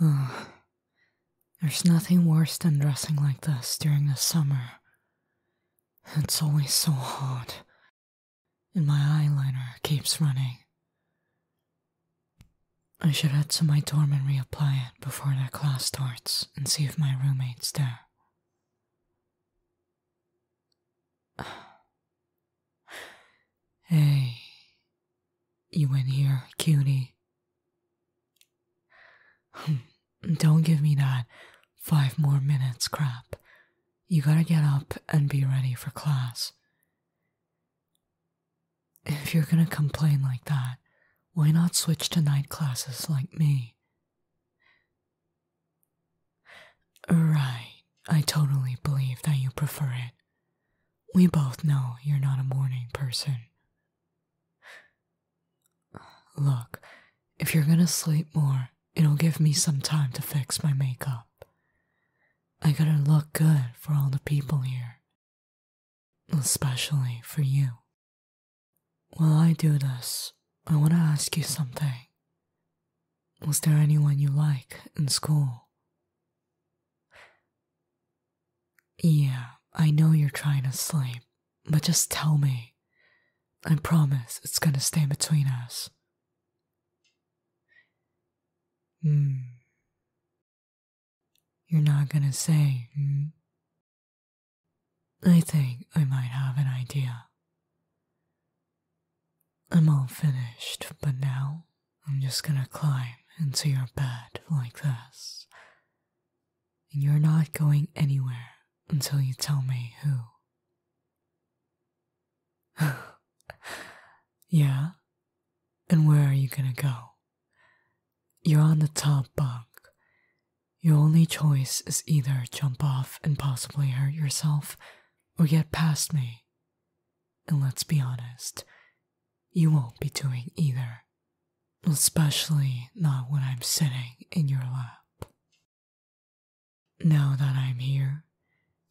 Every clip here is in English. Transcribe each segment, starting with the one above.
Ugh. There's nothing worse than dressing like this during the summer. It's always so hot, and my eyeliner keeps running. I should head to my dorm and reapply it before the class starts and see if my roommate's there. Hey, you in here, cutie? Hmm, don't give me that five more minutes crap. You gotta get up and be ready for class. If you're gonna complain like that, why not switch to night classes like me? Right, I totally believe that you prefer it. We both know you're not a morning person. Look, if you're gonna sleep more, it'll give me some time to fix my makeup. I gotta look good for all the people here, especially for you. While I do this, I wanna ask you something. Was there anyone you liked in school? Yeah, I know you're trying to sleep, but just tell me. I promise it's gonna stay between us. Hmm. You're not gonna say, hmm? I think I might have an idea. I'm all finished, but now I'm just gonna climb into your bed like this. And you're not going anywhere until you tell me who. yeah? And where are you gonna go? You're on the top bunk. Your only choice is either jump off and possibly hurt yourself or get past me. And let's be honest, you won't be doing either, especially not when I'm sitting in your lap. Now that I'm here,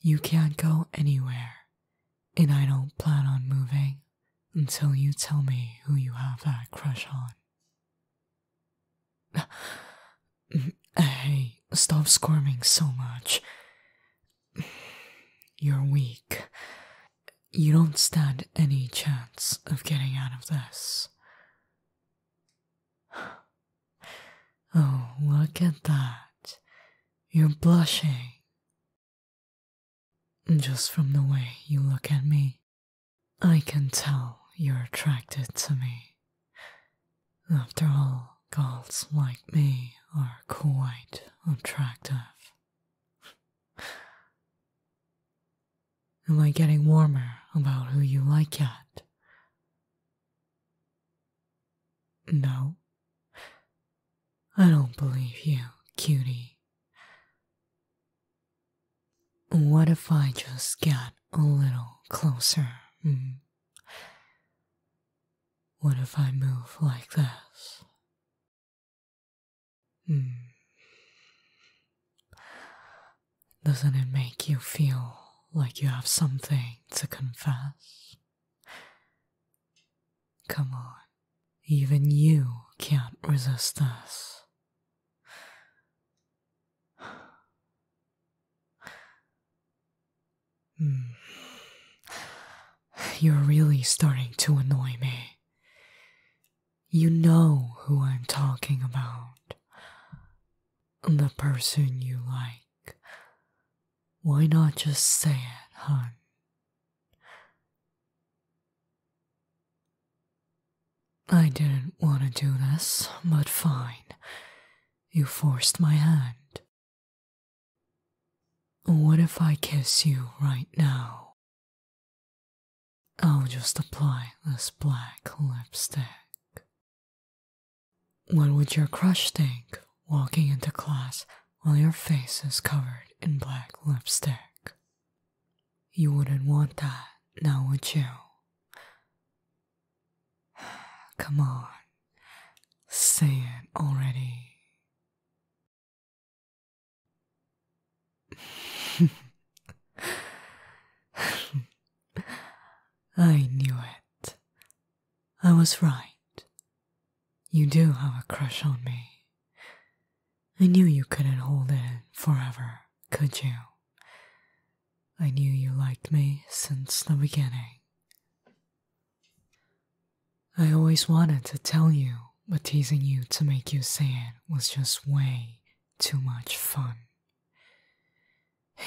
you can't go anywhere, and I don't plan on moving until you tell me who you have that crush on. hey, stop squirming so much. You're weak. You don't stand any chance of getting out of this. Oh, look at that. You're blushing. Just from the way you look at me, I can tell you're attracted to me. After all, girls like me are quite attractive. Am I getting warmer about who you like yet? No. I don't believe you, cutie. What if I just get a little closer? Hmm. What if I move like this? Mm. Doesn't it make you feel like you have something to confess? Come on, even you can't resist this. Hmm. You're really starting to annoy me. You know who I'm talking about. The person you like. Why not just say it, hun? I didn't want to do this, but fine. You forced my hand. What if I kiss you right now? I'll just apply this black lipstick. What would your crush think walking into class while your face is covered in black lipstick? You wouldn't want that, now would you? Come on, say it already. I knew it. I was right. You do have a crush on me. I knew you couldn't hold it forever, could you? I knew you liked me since the beginning. I always wanted to tell you, but teasing you to make you say it was just way too much fun.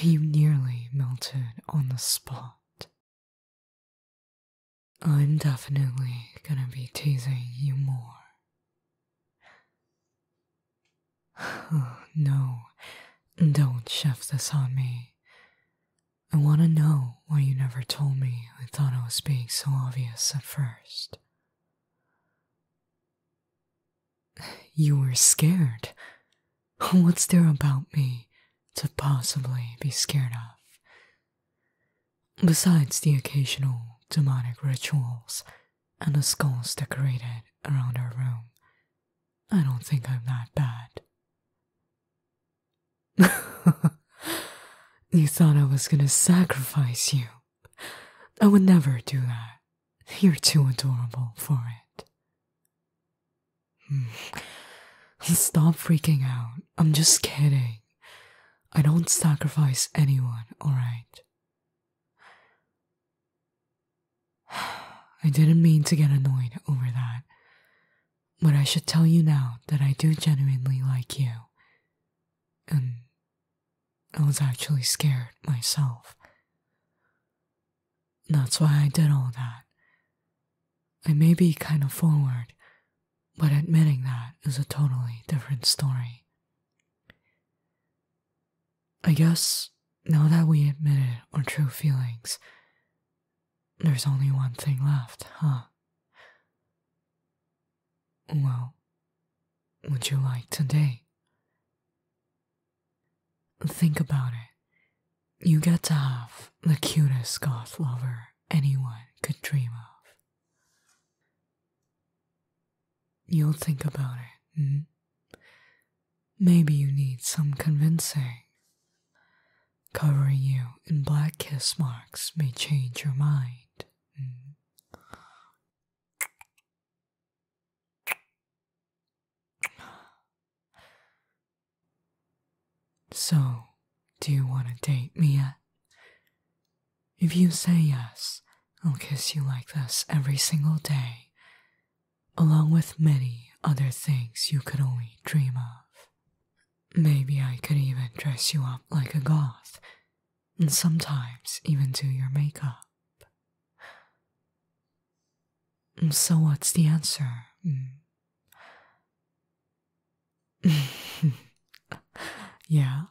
You nearly melted on the spot. I'm definitely gonna be teasing you more. no, don't shove this on me. I wanna know why you never told me. I thought I was being so obvious at first. You were scared. What's there about me to possibly be scared of? Besides the occasional demonic rituals and the skulls decorated around our room, I don't think I'm that bad. you thought I was gonna sacrifice you. I would never do that. You're too adorable for it. Hmm. Stop freaking out. I'm just kidding. I don't sacrifice anyone, alright? I didn't mean to get annoyed over that, but I should tell you now that I do genuinely like you, and I was actually scared myself. That's why I did all that. I may be kind of forward, but admitting that is a totally different story. I guess now that we admitted our true feelings, there's only one thing left, huh? Well, would you like today? Think about it. You get to have the cutest goth lover anyone could dream of. You'll think about it, hmm? Maybe you need some convincing. Covering you in black kiss marks may change your mind. Mm. So, do you want to date me yet? If you say yes, I'll kiss you like this every single day, along with many other things you could only dream of. Maybe I could even dress you up like a goth, and sometimes even do your makeup. So, what's the answer? Hmm. yeah.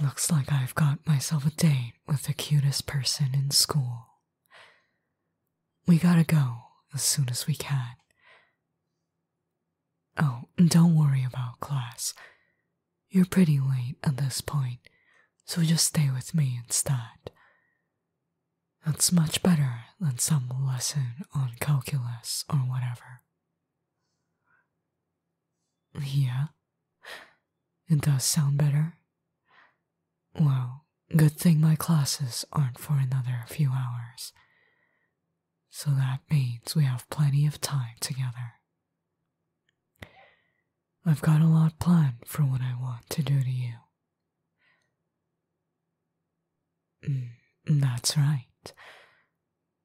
Looks like I've got myself a date with the cutest person in school. We gotta go as soon as we can. Oh, don't worry about class. You're pretty late at this point, so just stay with me instead. That's much better than some lesson on calculus or whatever. Yeah, it does sound better. Well, good thing my classes aren't for another few hours. So that means we have plenty of time together. I've got a lot planned for what I want to do to you. Mm, that's right.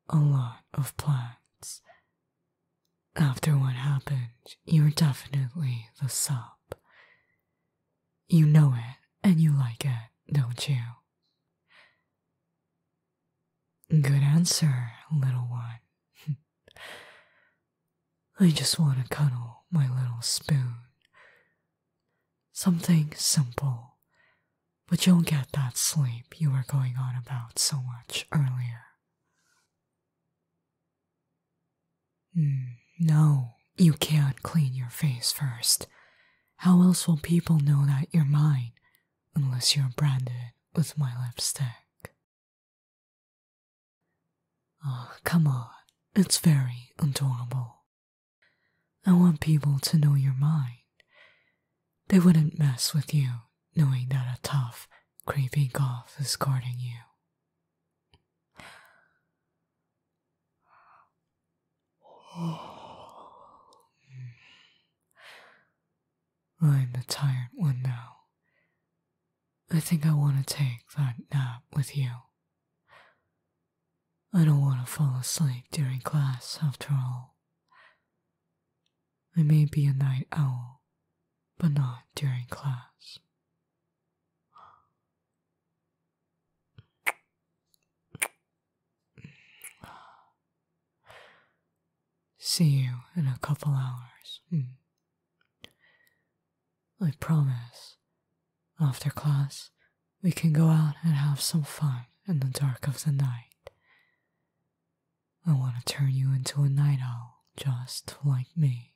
A lot of plans. After what happened, you're definitely the sub. You know it and you like it, don't you? Good answer, little one. I just want to cuddle my little spoon. Something simple, but you'll get that sleep you were going on about so much earlier. Hmm, no, you can't clean your face first. How else will people know that you're mine unless you're branded with my lipstick. Oh, ah, come on, it's very adorable. I want people to know you're mine. They wouldn't mess with you knowing that a tough, creepy goth is guarding you. I'm the tired one now. I think I want to take that nap with you. I don't want to fall asleep during class after all. I may be a night owl, but not during class. See you in a couple hours. Hmm. I promise. After class, we can go out and have some fun in the dark of the night. I want to turn you into a night owl just like me.